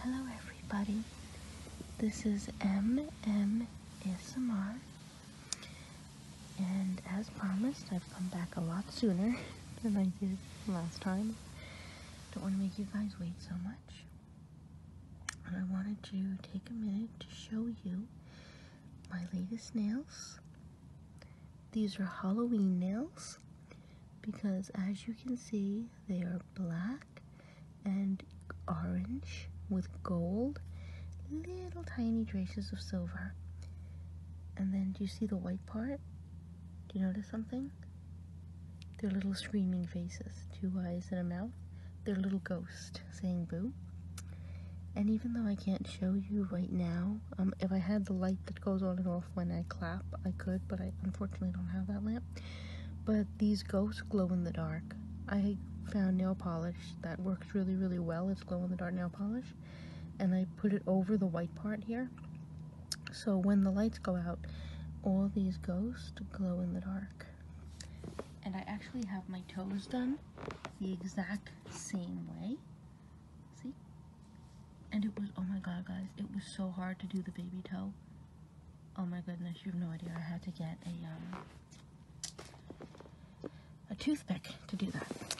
Hello, everybody. This is MM ASMR. And as promised, I've come back a lot sooner than I did last time. Don't want to make you guys wait so much. And I wanted to take a minute to show you my latest nails. These are Halloween nails because as you can see they are black and orange with gold little tiny traces of silver and then do you see the white part do you notice something they're little screaming faces two eyes and a mouth they're little ghosts saying boo and even though I can't show you right now um, if I had the light that goes on and off when I clap, I could, but I unfortunately don't have that lamp. But these ghosts Glow in the Dark, I found nail polish that works really, really well. It's glow in the dark nail polish. And I put it over the white part here. So when the lights go out, all these ghosts glow in the dark. And I actually have my toes done the exact same way. See? and it was oh my god guys it was so hard to do the baby toe oh my goodness you have no idea i had to get a um, a toothpick to do that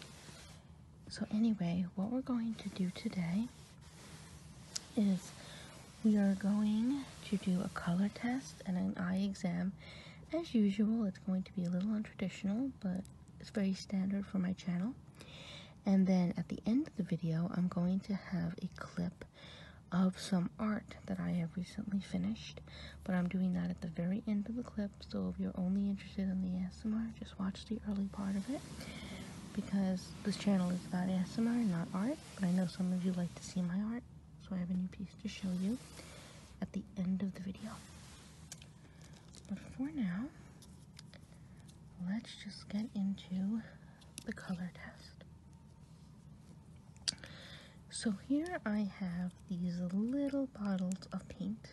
so anyway what we're going to do today is we are going to do a color test and an eye exam as usual it's going to be a little untraditional but it's very standard for my channel and then at the end of the video, I'm going to have a clip of some art that I have recently finished, but I'm doing that at the very end of the clip, so if you're only interested in the ASMR, just watch the early part of it, because this channel is about ASMR, not art, but I know some of you like to see my art, so I have a new piece to show you at the end of the video. But for now, let's just get into the color test. So here I have these little bottles of paint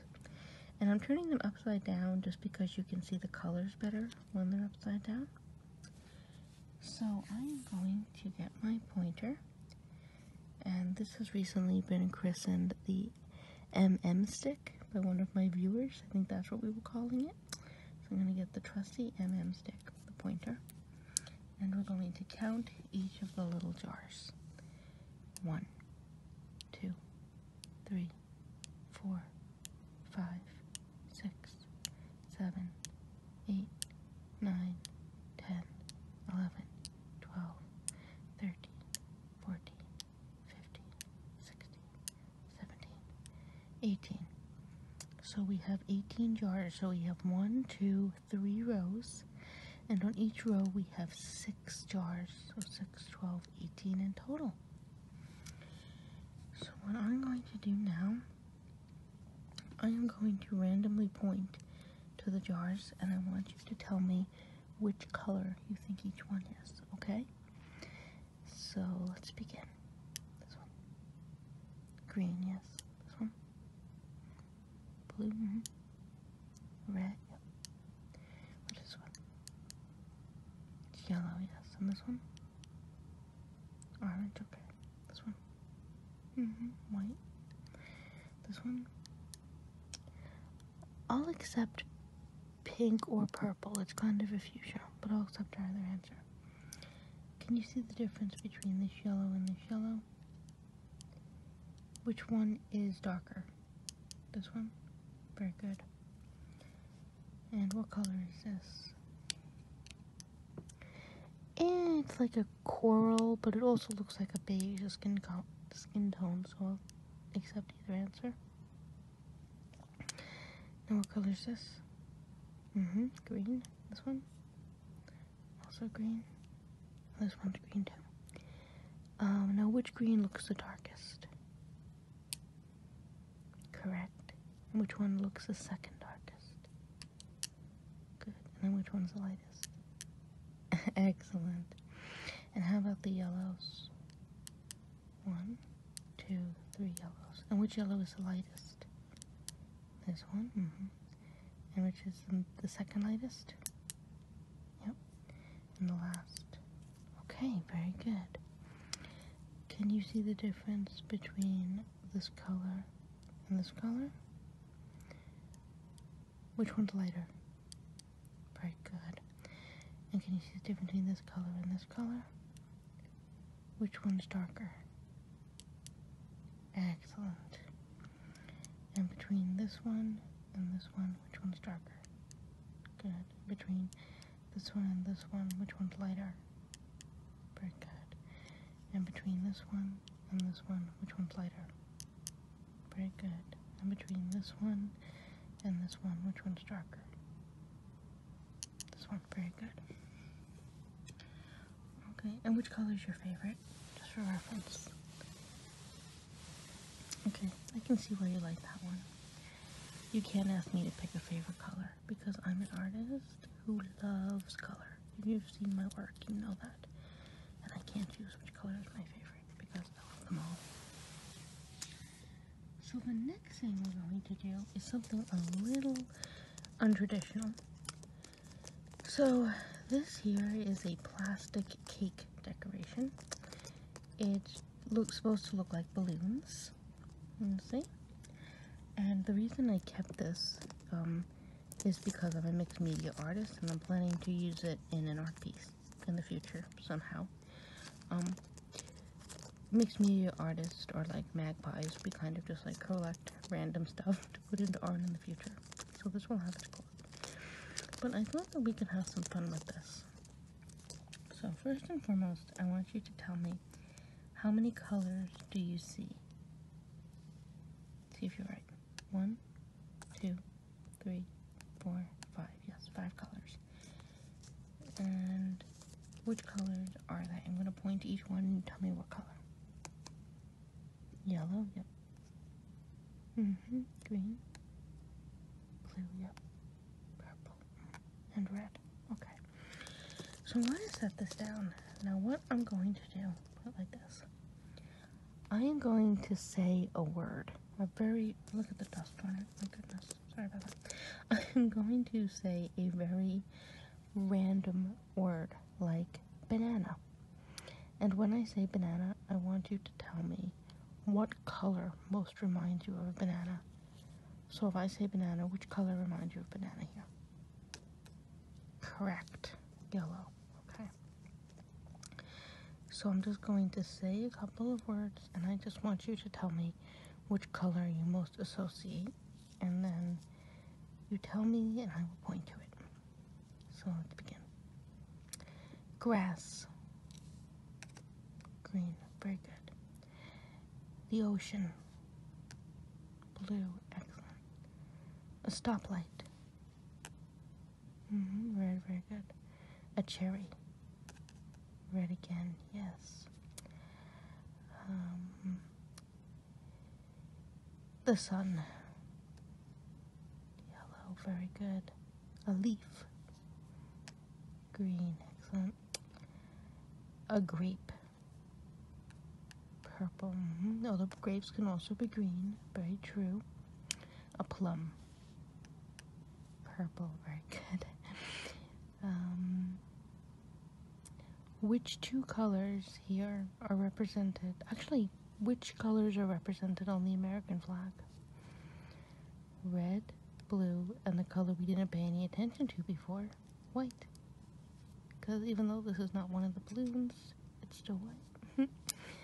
and I'm turning them upside down just because you can see the colors better when they're upside down. So I'm going to get my pointer and this has recently been christened the MM stick by one of my viewers. I think that's what we were calling it. So I'm going to get the trusty MM stick, the pointer, and we're going to count each of the little jars. One, two, three, four, five, six, seven, eight, nine, ten, eleven, twelve, thirteen, fourteen, 15, 16, 17, 18. So we have 18 jars. So we have one, two, three rows. And on each row we have six jars. So 6, 12, 18 in total. So what I'm going to do now, I am going to randomly point to the jars and I want you to tell me which color you think each one is, okay? So let's begin. This one. Green, yes. This one. Blue. Mm -hmm. Red, yep. What is this one? Yellow, yes. And this one? Orange, okay. This one. hmm White. This one. All except pink or purple. It's kind of a fuchsia, but I'll accept either answer. Can you see the difference between this yellow and this yellow? Which one is darker? This one? Very good. And what color is this? it's like a coral, but it also looks like a beige skin, skin tone, so I'll accept either answer. Now what color is this? Mm-hmm, green. This one? Also green. This one's green too. Um, now which green looks the darkest? Correct. And which one looks the second darkest? Good. And then which one's the lightest? Excellent. And how about the yellows? One, two, three yellows. And which yellow is the lightest? This one? Mm-hmm. And which is the second lightest? Yep. And the last. Okay, very good. Can you see the difference between this color and this color? Which one's lighter? Very good. And can you see the difference between this color and this color? Which one's darker? Excellent. And between this one and this one, which one's darker? Good. Between this one and this one, which one's lighter? Very good. And between this one and this one, which one's lighter? Very good. And between this one and this one, which one's darker? This one, very good. Okay, and which color is your favorite? Just for reference. Okay, I can see why you like that one. You can't ask me to pick a favorite color because I'm an artist who loves color. If you've seen my work, you know that. And I can't choose which color is my favorite because I love them all. So the next thing we're going to do is something a little untraditional. So this here is a plastic cake decoration. It looks supposed to look like balloons. You see? And the reason I kept this um, is because I'm a mixed media artist and I'm planning to use it in an art piece in the future somehow. Um, makes me artists or like magpies. We kind of just like collect random stuff to put into art in the future. So this will have its gold. But I thought that we could have some fun with this. So first and foremost, I want you to tell me how many colors do you see? See if you're right. One, two, three, four, five. Yes, five colors. And which colors are they? I'm going to point to each one and tell me what color. Yellow, yep. hmm Green. Blue, yep. Purple. And red. Okay. So I'm going to set this down. Now what I'm going to do, put it like this. I am going to say a word. A very, look at the dust on it, my goodness. Sorry about that. I'm going to say a very random word like banana. And when I say banana, I want you to tell me what color most reminds you of a banana. So if I say banana, which color reminds you of banana here? Correct. Yellow. Okay. So I'm just going to say a couple of words and I just want you to tell me which color you most associate, and then you tell me and I will point to it. So let begin. Grass. Green. Very good. The ocean. Blue. Excellent. A stoplight. Mm-hmm. very, very good. A cherry. Red again, yes. Um, the sun. Yellow, very good. A leaf. Green, excellent. A grape. Purple. Mm Oh, the grapes can also be green. Very true. A plum. Purple, very good um, which two colors here are represented. Actually, which colors are represented on the American flag? Red, blue, and the color we didn't pay any attention to before, white. Because even though this is not one of the balloons, it's still white.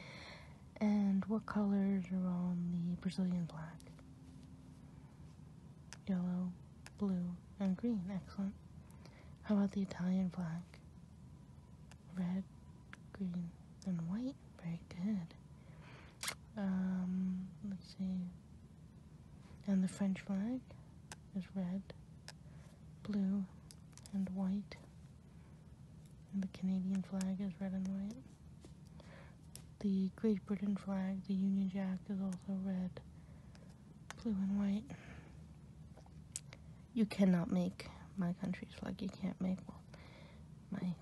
and what colors are on the Brazilian flag? yellow, blue, and green. Excellent. How about the Italian flag? Red, green, and white. Very good. Um, let's see. And the French flag is red, blue, and white. And the Canadian flag is red and white. The Great Britain flag, the Union Jack, is also red, blue and white. You cannot make my country's flag. You can't make my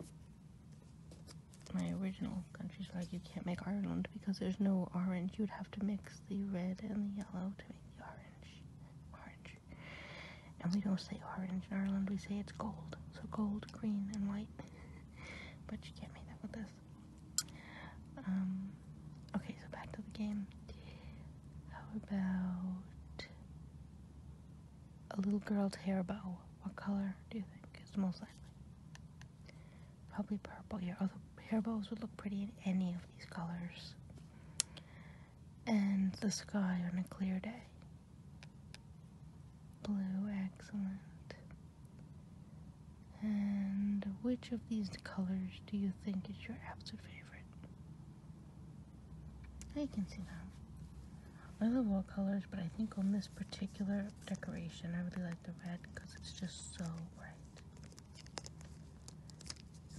my original country's flag. You can't make Ireland because there's no orange. You'd have to mix the red and the yellow to make the orange. Orange. And we don't say orange in Ireland. We say it's gold. So gold, green, and white. but you can't make that with this. Um, okay, so back to the game. How about a little girl's hair bow? What color do you think is most likely? Probably purple. Your other hair bows would look pretty in any of these colors. And the sky on a clear day. Blue, excellent. And which of these colors do you think is your absolute favorite? I can see that. I love all colors, but I think on this particular decoration, I really like the red because it's just so bright.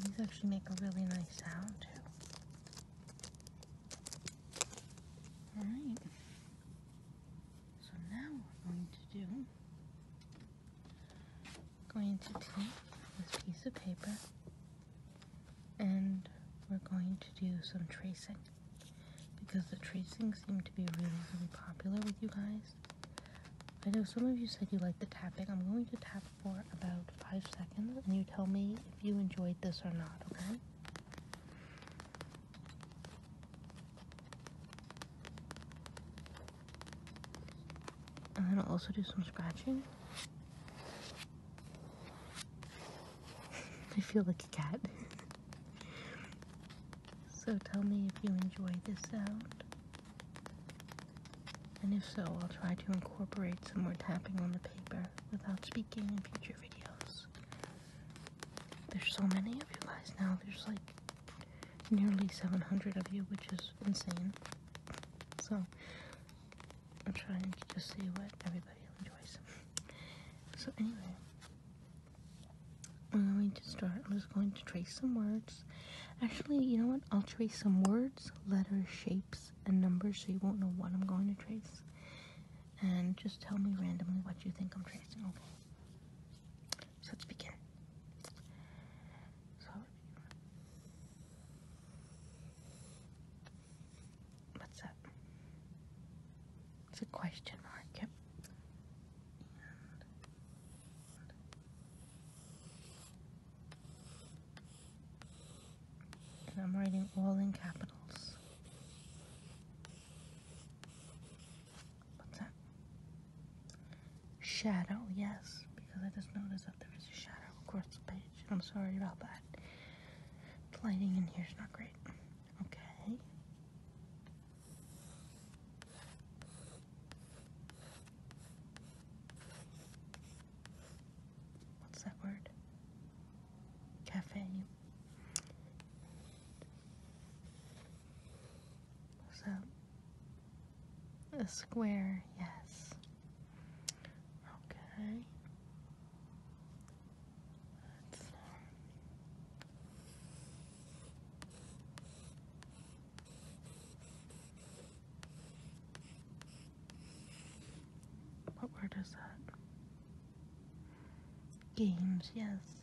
These actually make a really nice sound too. Alright. So now we're going to do going to take this piece of paper and we're going to do some tracing because the tracing seemed to be really really popular with you guys. I know some of you said you liked the tapping. I'm going to tap for about five seconds and you tell me if you enjoyed this or not, okay? And then I'll also do some scratching. I feel like a cat. so tell me if you enjoy this sound. And if so, I'll try to incorporate some more tapping on the paper without speaking in future videos. There's so many of you guys now, there's like nearly 700 of you, which is insane. So, I'm trying to just see what everybody enjoys. So, anyway, I'm going to start. I'm just going to trace some words. Actually, you know what? I'll trace some words, letters, shapes, and numbers so you won't know what I'm going to trace. And just tell me randomly what you think I'm tracing, so let's begin. what's up? It's a question mark, yep. And I'm writing all in capitals. What's that? Shadow, yes, because I just noticed that there is a shadow across the page. I'm sorry about that. The lighting in here is not great. Okay. What's that word? Cafe. So, a square, yes. Okay. Um, what word is that? Games, yes.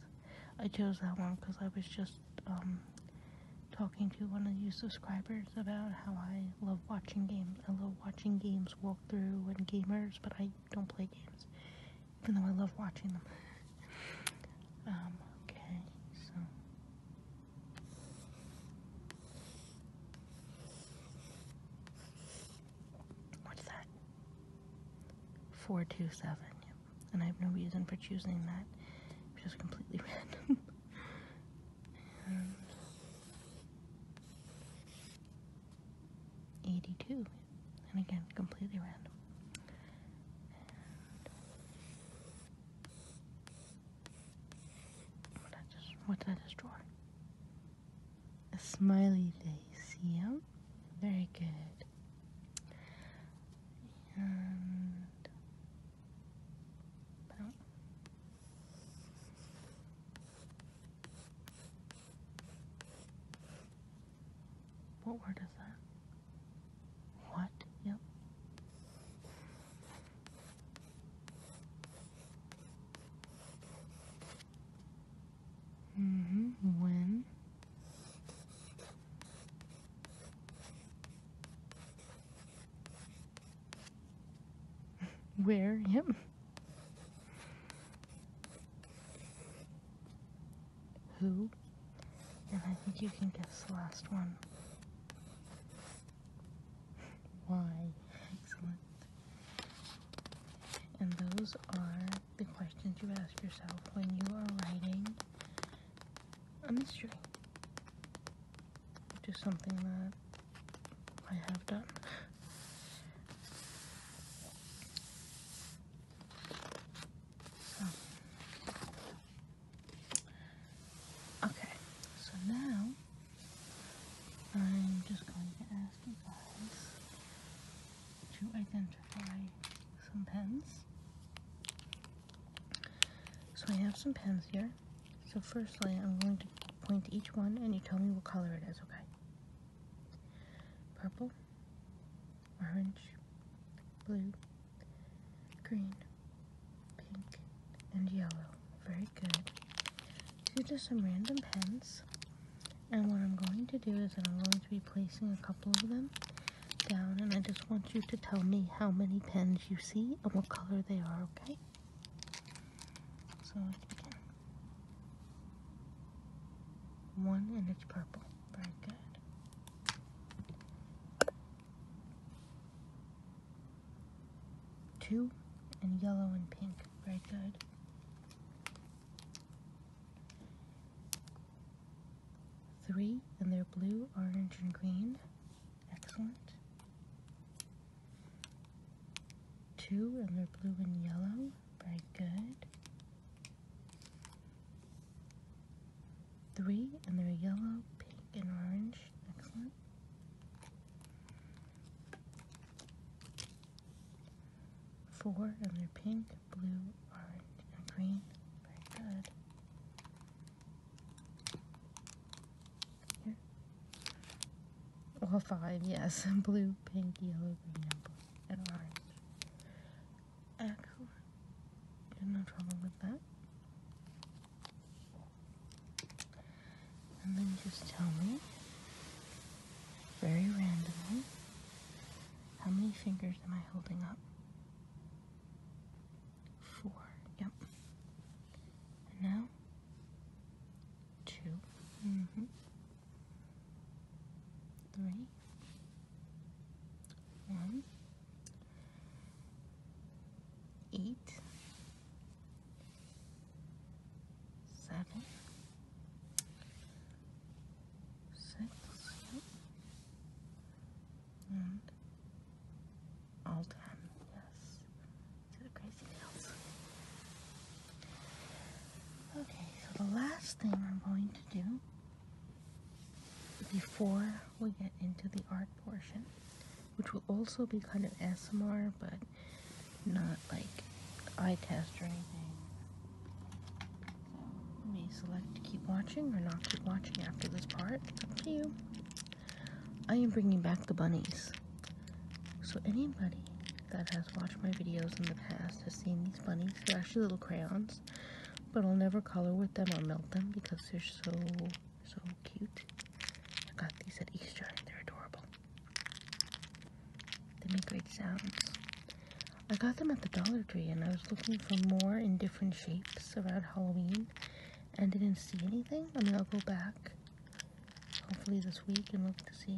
I chose that one because I was just um, talking to one of you subscribers about how I love watching games. I love watching games walkthrough and gamers, but I don't play games, even though I love watching them. Um, okay, so. What's that? 427, and I have no reason for choosing that. It's just completely random. Um, 82, and again, completely random. what that just just draw? A smiley face, yeah. Very good what word is that? What? Yep. Mm-hmm. When where him? Who? And I think you can guess the last one. Why? Excellent. And those are the questions you ask yourself when you are writing a mystery, which something that I have done. Oh. Okay, so now I'm just going to ask you guys to identify some pens. So I have some pens here. So firstly, I'm going to point to each one and you tell me what color it is, okay? Purple, orange, blue, green, pink, and yellow. Very good. These are some random pens. And what I'm going to do is that I'm going to be placing a couple of them down and I just want you to tell me how many pens you see and what color they are, okay? So let's begin. One and it's purple. Very good. Two and yellow and pink. Very good. Three, and they're blue, orange, and green. Excellent. Two, and they're blue and yellow. Very good. Three, and they're yellow, pink, and orange. Excellent. Four, and they're pink, blue, orange, and green. Very good. Well, five, yes. Blue, pink, yellow, green, and and orange. Excellent. no trouble with that. And then just tell me, very randomly, how many fingers am I holding up? four, yep. And now, two, mm -hmm. three, one, eight, seven, six, yep. Mm. all ten, yes. To the crazy nails. Okay, so the last thing I'm going to do before we get into the art portion, which will also be kind of ASMR, but not like eye test or anything. So you may select to keep watching or not keep watching after this part. It's up to you. I am bringing back the bunnies. So anybody that has watched my videos in the past has seen these bunnies. They're actually little crayons, but I'll never color with them or melt them because they're so, so cute. I got these at Easter. They're adorable. They make great sounds. I got them at the Dollar Tree and I was looking for more in different shapes around Halloween and didn't see anything. I mean, I'll go back hopefully this week and look to see.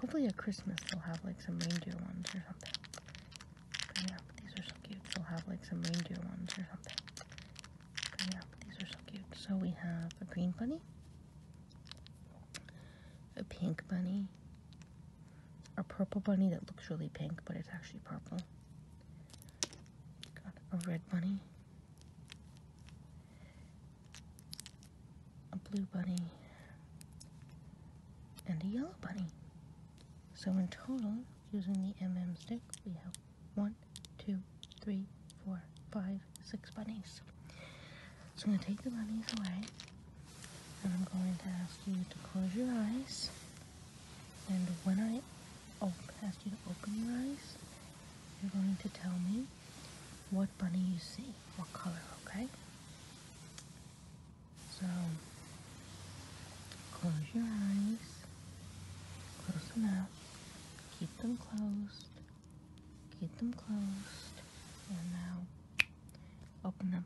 Hopefully at Christmas they'll have like some reindeer ones or something. yeah, these are so cute. They'll have like some reindeer ones or something. yeah, these are so cute. So we have a green bunny, a pink bunny, a purple bunny that looks really pink but it's actually purple, Got a red bunny. A blue bunny. And a yellow bunny. So in total, using the MM stick, we have one, two, three, four, five, six bunnies. So I'm going to take the bunnies away, and I'm going to ask you to close your eyes and when I ask you to open your eyes, you're going to tell me what bunny you see, what color, okay? So, close your eyes, close enough, keep them closed, keep them closed, and now open them.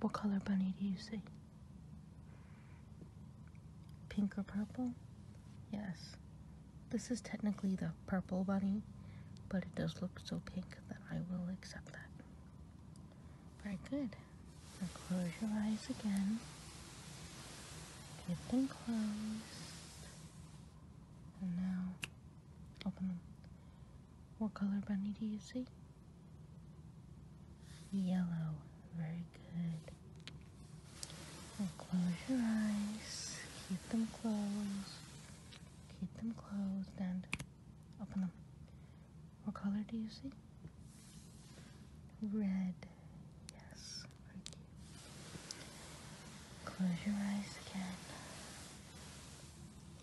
What color bunny do you see? Pink or purple? Yes. This is technically the purple bunny, but it does look so pink that I will accept that. Very good. Now close your eyes again. Keep them closed. And now open them. What color bunny do you see? yellow. Very good. close your eyes. Keep them closed. Keep them closed and open them. What color do you see? Red. Yes. Thank you. Close your eyes again.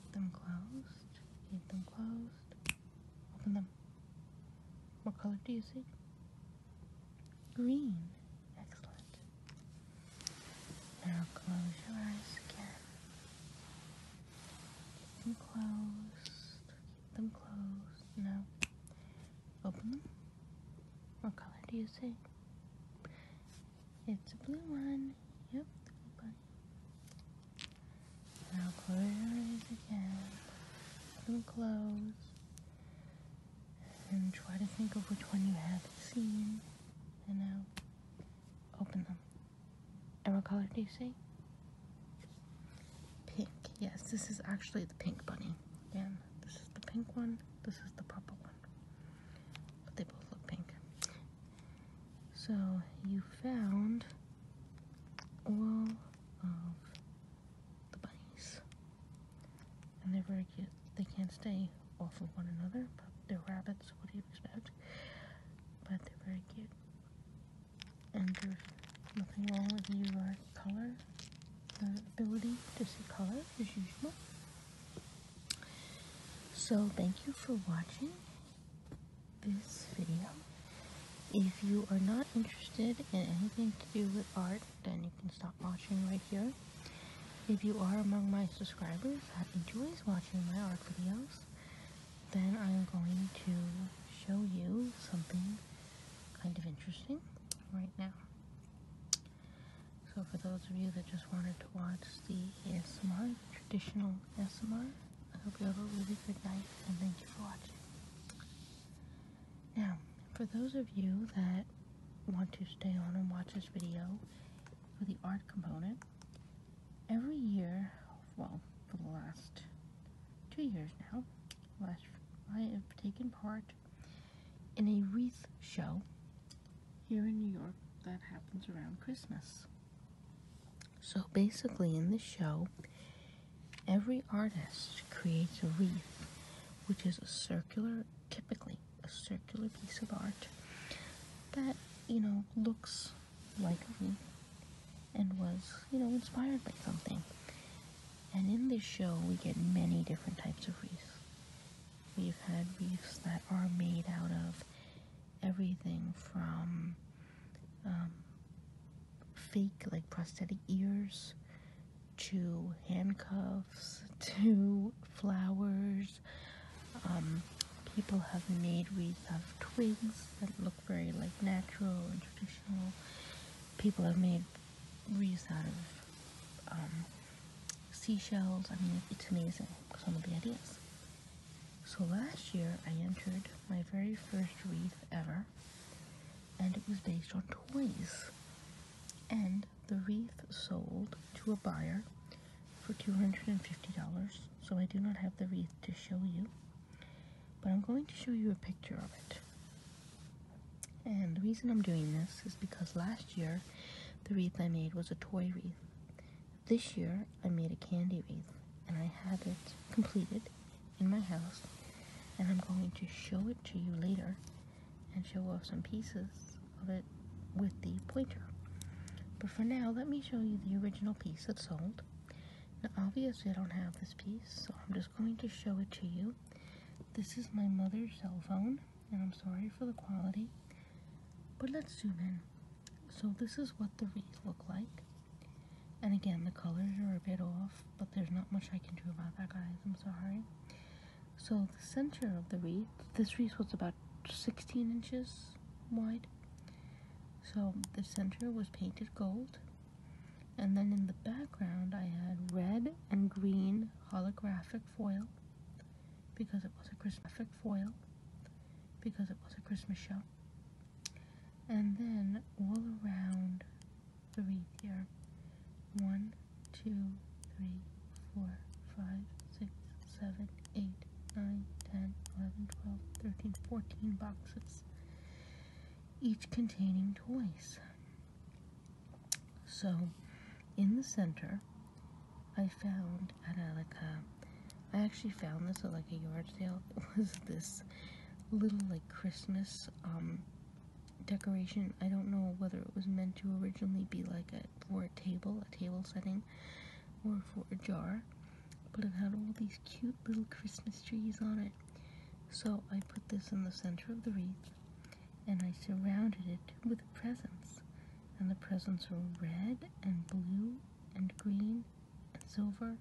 Keep them closed. Keep them closed. Open them. What color do you see? Green. Excellent. Now close your eyes again. Keep them closed. Keep them closed. Now open them. What color do you see? It's a blue one. Yep, now close your eyes again. Put them closed. And try to think of which one you have seen. And now open them. And what color do you see? Pink. Yes, this is actually the pink bunny. Again, this is the pink one. This is the purple one. But they both look pink. So you found all of the bunnies. they're very cute. They can't stay off of one another, but they're rabbits. What do you expect? But they're very cute. And there's nothing wrong with your color, the ability to see color as usual. So thank you for watching this video. Um, if you are not interested in anything to do with art, then you can stop watching right here. If you are among my subscribers that enjoys watching my art videos, then I'm going to show you something kind of interesting right now. So for those of you that just wanted to watch the ASMR, traditional ASMR, I hope you have a really good night and thank you for watching. Now, for those of you that want to stay on and watch this video for the art component, every year, well, for the last two years now, last I have taken part in a wreath show here in New York that happens around Christmas. So basically, in the show, Every artist creates a wreath, which is a circular, typically a circular piece of art that, you know, looks like a and was, you know, inspired by something. And in this show, we get many different types of wreaths. We've had wreaths that are made out of everything from um, fake, like prosthetic ears to handcuffs to flowers. Um, people have made wreaths of twigs that look very like natural and traditional. People have made wreaths out of um, seashells. I mean, it's amazing some of the ideas. So last year I entered my very first wreath ever and it was based on toys. And the wreath sold to a buyer for $250, so I do not have the wreath to show you, but I'm going to show you a picture of it. And the reason I'm doing this is because last year the wreath I made was a toy wreath. This year I made a candy wreath and I have it completed in my house and I'm going to show it to you later and show off some pieces of it with the pointer. But for now, let me show you the original piece that sold. Now, obviously, I don't have this piece, so I'm just going to show it to you. This is my mother's cell phone, and I'm sorry for the quality, but let's zoom in. So this is what the wreath look like. And again, the colors are a bit off, but there's not much I can do about that, guys. I'm sorry. So the center of the wreath, this wreath was about 16 inches wide. So the center was painted gold. And then in the background, I had red and green holographic foil because it was a Christmas foil because it was a Christmas show. And then all around three here. One, two, three, four, five, six, seven, eight, nine, ten, eleven, twelve, thirteen, fourteen boxes, each containing toys. So, in the center, I found at a, like a, I actually found this at like a yard sale. It was this little like Christmas um decoration. I don't know whether it was meant to originally be like a for a table, a table setting, or for a jar, but it had all these cute little Christmas trees on it. So I put this in the center of the wreath, and I surrounded it with presents. And the presents were red and blue and green and silver,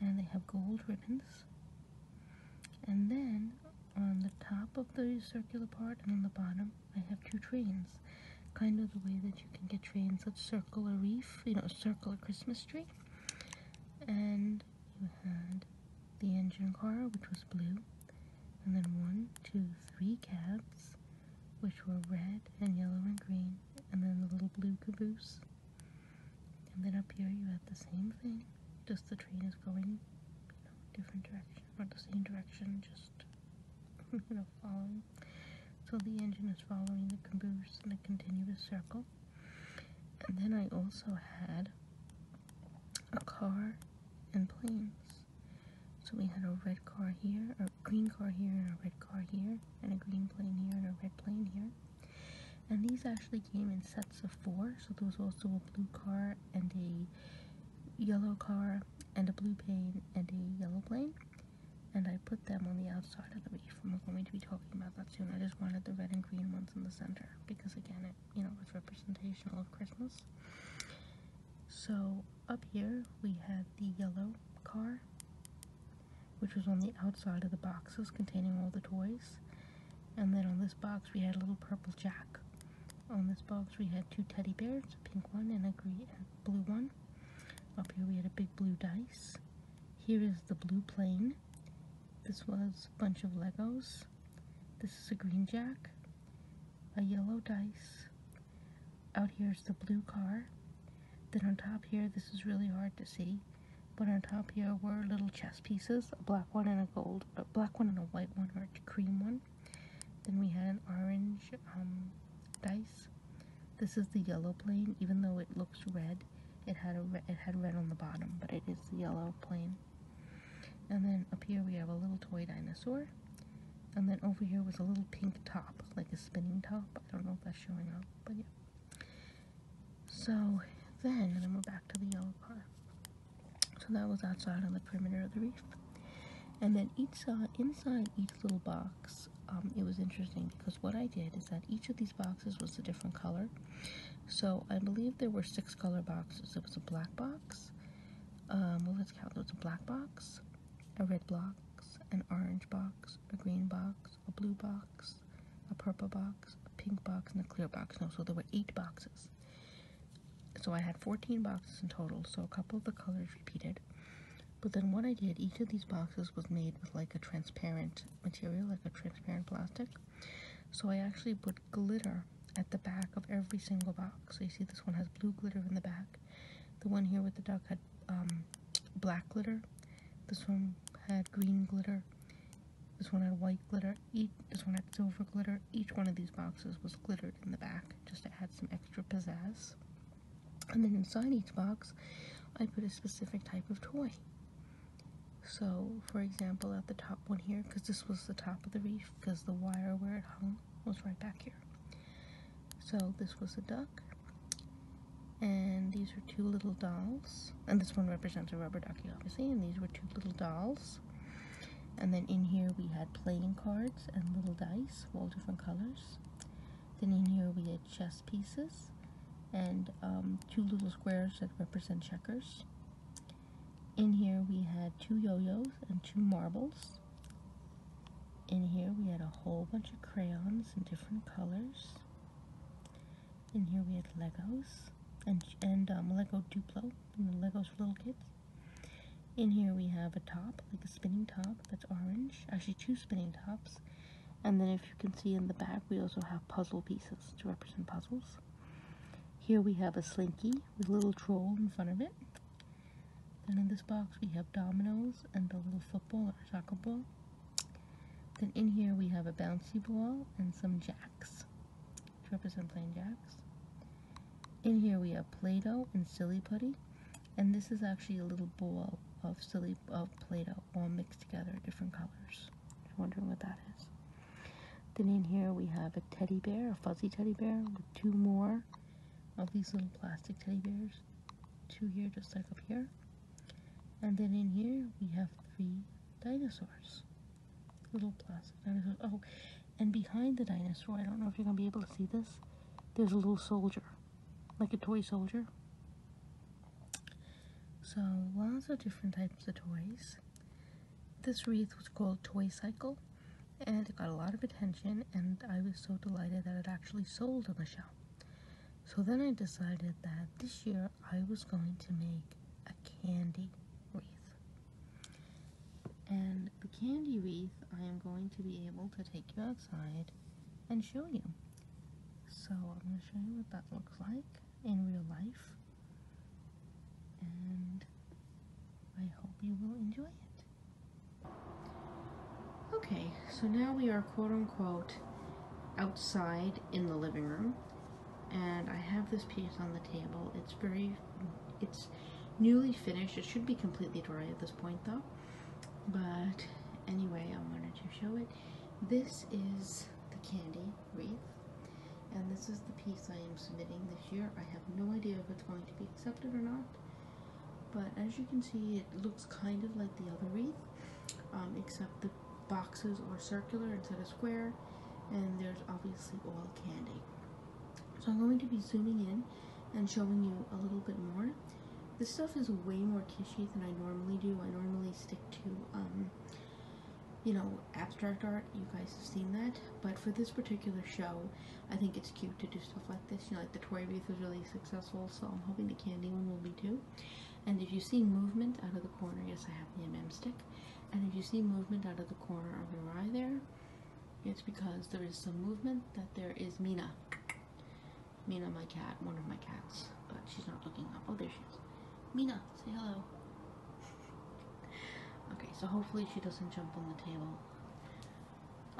and they have gold ribbons. And then on the top of the circular part and on the bottom, I have two trains. Kind of the way that you can get trains that circle a reef, you know, circle a Christmas tree. And you had the engine car, which was blue, and then one, two, three cabs, which were red and yellow and green, and then the little blue caboose. And then up here you have the same thing, just the train is going, you know, different direction, or the same direction, just, you know, following. So the engine is following the caboose in a continuous circle. And then I also had a car and planes. So we had a red car here, a green car here, and a red car here, and a green plane here, and a red plane here. And these actually came in sets of four, so there was also a blue car and a yellow car and a blue plane and a yellow plane. And I put them on the outside of the leaf. I'm going to be talking about that soon. I just wanted the red and green ones in the center because again, it you know it's representational of Christmas. So up here we have the yellow car, which was on the outside of the boxes containing all the toys. And then on this box we had a little purple jack. On this box we had two teddy bears, a pink one and a green blue one. Up here we had a big blue dice. Here is the blue plane. This was a bunch of Legos. This is a green jack, a yellow dice. Out here is the blue car. Then on top here, this is really hard to see. But on top here were little chess pieces, a black one and a gold, a black one and a white one or a cream one. Then we had an orange um, dice. This is the yellow plane, even though it looks red. It had it had red on the bottom, but it is the yellow plane. And then up here we have a little toy dinosaur. And then over here was a little pink top, like a spinning top. I don't know if that's showing up, but yeah. So then, and then we're back to the yellow car. So that was outside on the perimeter of the reef. And then each inside each little box, um, it was interesting because what I did is that each of these boxes was a different color. So I believe there were six color boxes. It was a black box. Um, let's count. It was a black box, a red box, an orange box, a green box, a blue box, a purple box, a pink box, and a clear box. No, so there were eight boxes. So I had 14 boxes in total, so a couple of the colors repeated. But then what I did, each of these boxes was made with like a transparent material, like a transparent plastic. So I actually put glitter at the back of every single box. So you see this one has blue glitter in the back. The one here with the duck had um, black glitter. This one had green glitter. This one had white glitter, each, this one had silver glitter. Each one of these boxes was glittered in the back, just to add some extra pizzazz. And then inside each box, I put a specific type of toy. So, for example, at the top one here, because this was the top of the reef, because the wire where it hung was right back here. So this was a duck, and these are two little dolls, and this one represents a rubber ducky, obviously, and these were two little dolls, and then in here we had playing cards and little dice, all different colors. Then in here we had chess pieces and um, two little squares that represent checkers. In here we had two yo-yos and two marbles. In here we had a whole bunch of crayons in different colors. In here we had Legos and, and um, Lego Duplo and Legos for little kids. In here we have a top, like a spinning top that's orange. Actually, two spinning tops. And then if you can see in the back, we also have puzzle pieces to represent puzzles. Here we have a slinky with a little troll in front of it. Then in this box we have dominoes and a little football or soccer ball. Then in here we have a bouncy ball and some jacks trippers and plain jacks. In here we have Play-Doh and Silly Putty, and this is actually a little ball of silly of Play-Doh all mixed together, different colors. wondering what that is. Then in here we have a teddy bear, a fuzzy teddy bear, with two more of these little plastic teddy bears. Two here, just like up here. And then in here we have three dinosaurs little plastic dinosaur. Oh, and behind the dinosaur, I don't know if you're gonna be able to see this. There's a little soldier, like a toy soldier. So lots of different types of toys. This wreath was called Toy Cycle, and it got a lot of attention. And I was so delighted that it actually sold on the show. So then I decided that this year I was going to make a candy wreath. And the candy wreath, I am going to be able to take you outside and show you. So I'm going to show you what that looks like in real life. And I hope you will enjoy it. Okay, so now we are quote unquote outside in the living room and I have this piece on the table. It's very, it's newly finished. It should be completely dry at this point though. But anyway, I wanted to show it. This is the candy wreath. And this is the piece I am submitting this year. I have no idea if it's going to be accepted or not. But as you can see, it looks kind of like the other wreath, um, except the boxes are circular instead of square. And there's obviously all candy. So I'm going to be zooming in and showing you a little bit more. This stuff is way more kitschy than I normally do. I normally stick to, um, you know, abstract art. You guys have seen that. But for this particular show, I think it's cute to do stuff like this. You know, like the Tory Booth was really successful, so I'm hoping the candy one will be too. And if you see movement out of the corner, yes, I have the MM stick. And if you see movement out of the corner of your eye there, it's because there is some movement that there is Mina. Mina, my cat, one of my cats, but she's not looking up. Oh, there she is. Mina, say hello. okay, so hopefully she doesn't jump on the table.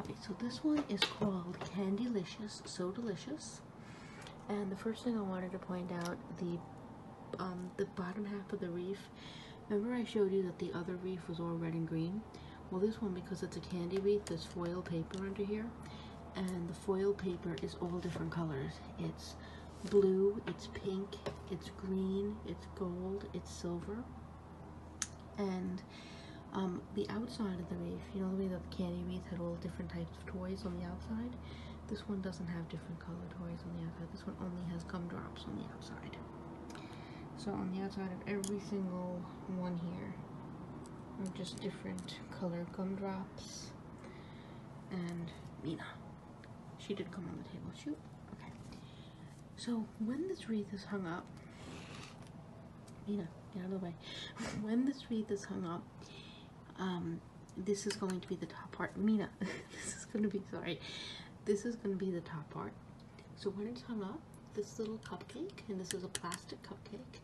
Okay, so this one is called Candylicious, So Delicious. And the first thing I wanted to point out, the um, the bottom half of the reef Remember I showed you that the other reef was all red and green? Well this one, because it's a candy wreath, there's foil paper under here. And the foil paper is all different colors. It's blue, it's pink, it's green, it's gold, it's silver. And um, the outside of the wreath, you know the way that the candy wreath had all different types of toys on the outside? This one doesn't have different colored toys on the outside. This one only has gumdrops on the outside. So on the outside of every single one here are just different color gumdrops. And Mina. She did come on the table. Shoot. Okay. So when this wreath is hung up, Mina, get out of the way. when this wreath is hung up, um, this is going to be the top part. Mina, this is gonna be sorry. This is gonna be the top part. So when it's hung up, this little cupcake, and this is a plastic cupcake,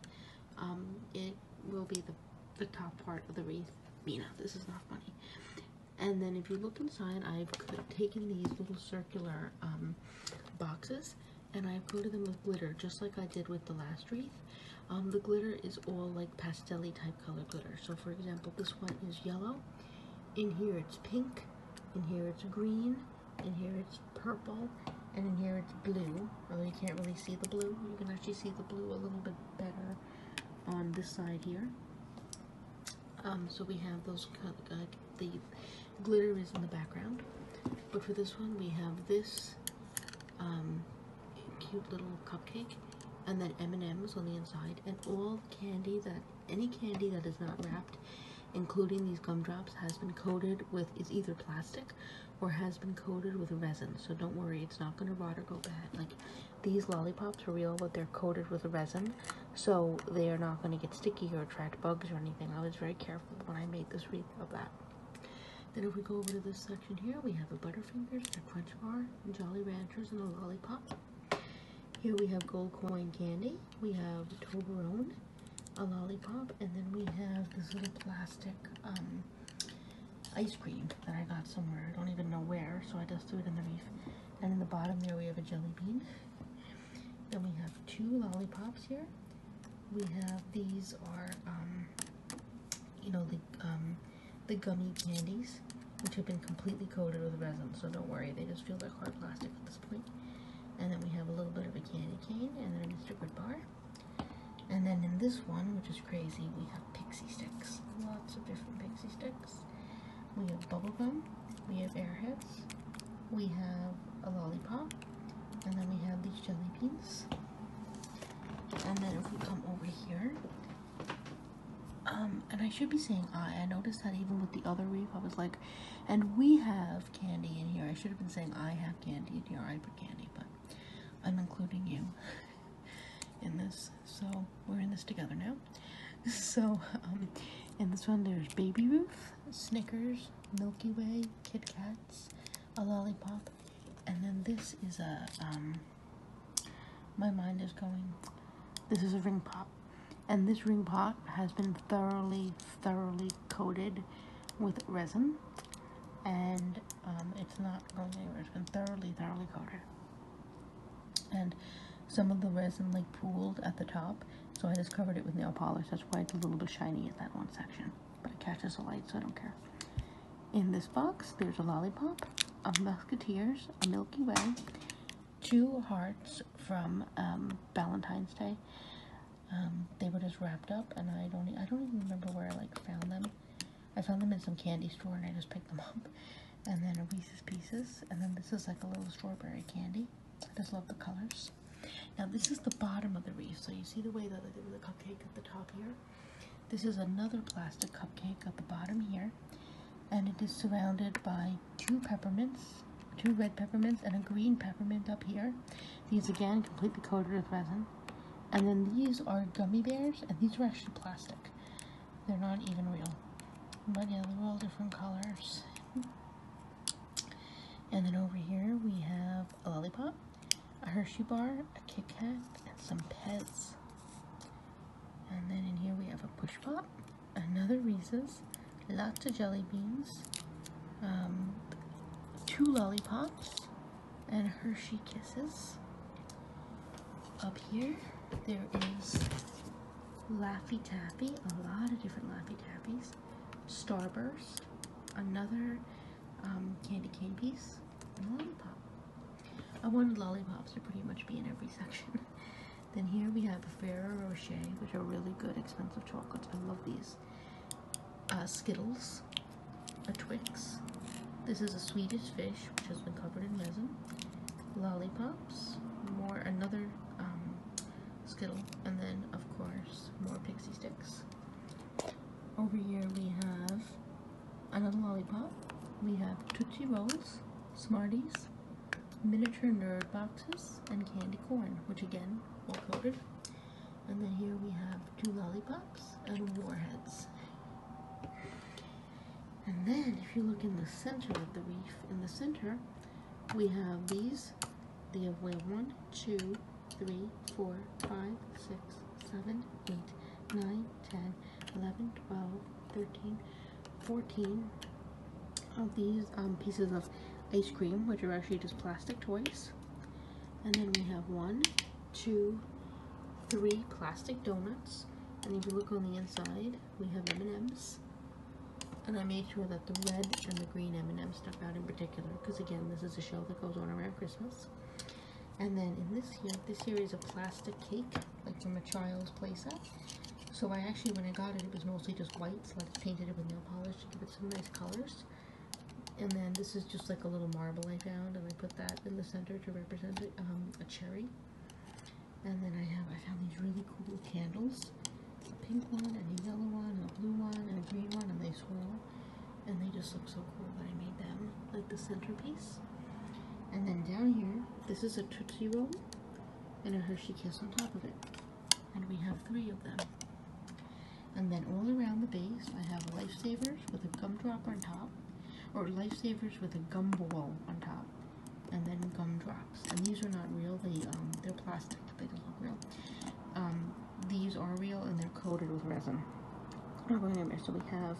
um, it will be the the top part of the wreath. Mina, this is not funny. And then if you look inside, I've taken these little circular um, boxes and I've coated them with glitter, just like I did with the last wreath. Um, the glitter is all like pastel type color glitter. So for example, this one is yellow in here it's pink, in here it's green, in here it's purple, and in here it's blue, although you can't really see the blue. You can actually see the blue a little bit better on this side here. Um, so we have those, uh, the glitter is in the background. But for this one, we have this um, cute little cupcake, and then M&Ms on the inside, and all the candy that any candy that is not wrapped, including these gumdrops, has been coated with is either plastic or has been coated with resin. So don't worry, it's not going to rot or go bad. Like these lollipops are real, but they're coated with resin, so they are not going to get sticky or attract bugs or anything. I was very careful when I made this wreath of that. Then if we go over to this section here, we have a Butterfingers, a Crunch Bar, Jolly Ranchers, and a Lollipop. Here we have gold coin candy, we have Toblerone, a lollipop, and then we have this little plastic um, ice cream that I got somewhere. I don't even know where, so I just threw it in the reef. And in the bottom there we have a jelly bean. Then we have two lollipops here. We have, these are, um, you know, the, um, the gummy candies which have been completely coated with resin, so don't worry, they just feel like hard plastic at this point. And then we have a little bit of a candy cane, and then a distributed bar. And then in this one, which is crazy, we have pixie sticks. Lots of different pixie sticks. We have bubblegum, we have airheads, we have a lollipop, and then we have these jelly beans. And then if we come over here, um, and I should be saying I. I noticed that even with the other reef, I was like, and we have candy in here. I should have been saying I have candy in here. I put candy, but I'm including you in this. So we're in this together now. So, um, in this one, there's Baby Ruth, Snickers, Milky Way, Kit Kats, a lollipop, and then this is a, um, my mind is going, this is a ring pop. And this ring pot has been thoroughly, thoroughly coated with resin. And um, it's not going anywhere. It's been thoroughly, thoroughly coated. And some of the resin like pooled at the top. So I just covered it with nail polish. That's why it's a little bit shiny at that one section. But it catches the light, so I don't care. In this box, there's a lollipop, a Musketeers, a Milky Way, two hearts from um, Valentine's Day. Um, they were just wrapped up, and I don't I don't even remember where I like found them. I found them in some candy store, and I just picked them up. And then a Reese's Pieces, and then this is like a little strawberry candy. I just love the colors. Now this is the bottom of the wreath, so you see the way that I did with the cupcake at the top here. This is another plastic cupcake at the bottom here and it is surrounded by two peppermints, two red peppermints and a green peppermint up here. These again completely coated with resin. And then these are gummy bears and these are actually plastic. They're not even real. But yeah, they're all different colors. And then over here we have a lollipop, a Hershey bar, a Kit Kat, and some Pez. And then in here we have a push pop another Reese's, lots of jelly beans, um, two lollipops, and Hershey Kisses. Up here, there is Laffy Taffy, a lot of different Laffy Tappies, Starburst, another um, candy cane piece, lollipop. I wanted lollipops to pretty much be in every section. Then here we have Ferrero Rocher, which are really good expensive chocolates. I love these. Uh, Skittles, Twix. This is a Swedish fish, which has been covered in resin. Lollipops, more another um, Skittle, and then of course more pixie sticks. Over here we have another lollipop. We have Tootsie Rolls, Smarties, miniature nerd boxes and candy corn, which again, all coated. And then here we have two lollipops and warheads. And then, if you look in the center of the reef, in the center, we have these. They have we have one, two, three, four, five, six, seven, eight, nine, ten, eleven, twelve, thirteen, 14 of these um, pieces of ice cream, which are actually just plastic toys. And then we have one, two, three plastic donuts. And if you look on the inside, we have M&Ms. And I made sure that the red and the green M&M stuck out in particular, because again, this is a show that goes on around Christmas. And then in this here, this here is a plastic cake, like from a child's playset. So I actually, when I got it, it was mostly just white, so I painted it with nail polish to give it some nice colors. And then this is just like a little marble I found, and I put that in the center to represent it, um, a cherry. And then I have, I found these really cool candles. A pink one, and a yellow one, and a blue one, and a green one, and they swirl. And they just look so cool that I made them like the centerpiece. And then down here, this is a Tootsie Roll, and a Hershey Kiss on top of it and we have three of them. And then all around the base, I have lifesavers with a gumdrop on top, or lifesavers with a gum ball on top, and then gumdrops. And these are not real; they um, they're plastic. They don't look real. Um, these are real, and they're coated with resin. Oh, so we have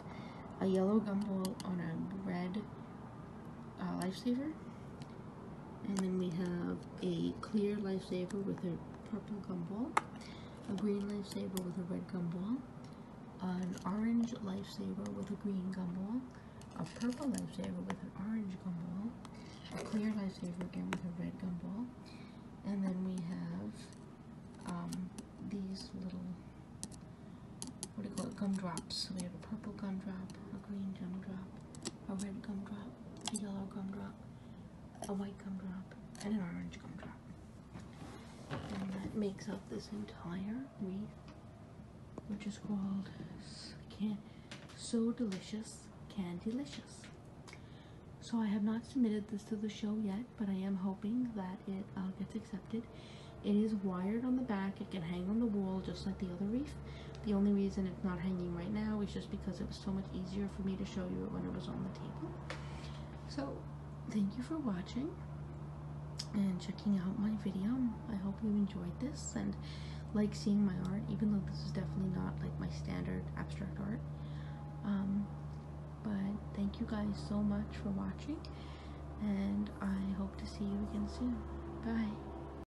a yellow gum ball on a red uh, lifesaver. And then we have a clear lifesaver with a purple gumball, a green lifesaver with a red gumball, an orange lifesaver with a green gumball, a purple lifesaver with an orange gumball, a clear lifesaver again with a red gumball, and then we have um, these little, what do you call it, gumdrops. So we have a purple gumdrop, a green gumdrop, a red gumdrop, a yellow gumdrop, a white gumdrop, and an orange gumdrop. And that makes up this entire wreath, which is called can So Delicious Candylicious. So I have not submitted this to the show yet, but I am hoping that it uh, gets accepted. It is wired on the back. It can hang on the wall just like the other wreath. The only reason it's not hanging right now is just because it was so much easier for me to show you it when it was on the table. So, thank you for watching and checking out my video. I hope you enjoyed this and like seeing my art, even though this is definitely not like my standard abstract art. Um, but thank you guys so much for watching and I hope to see you again soon. Bye.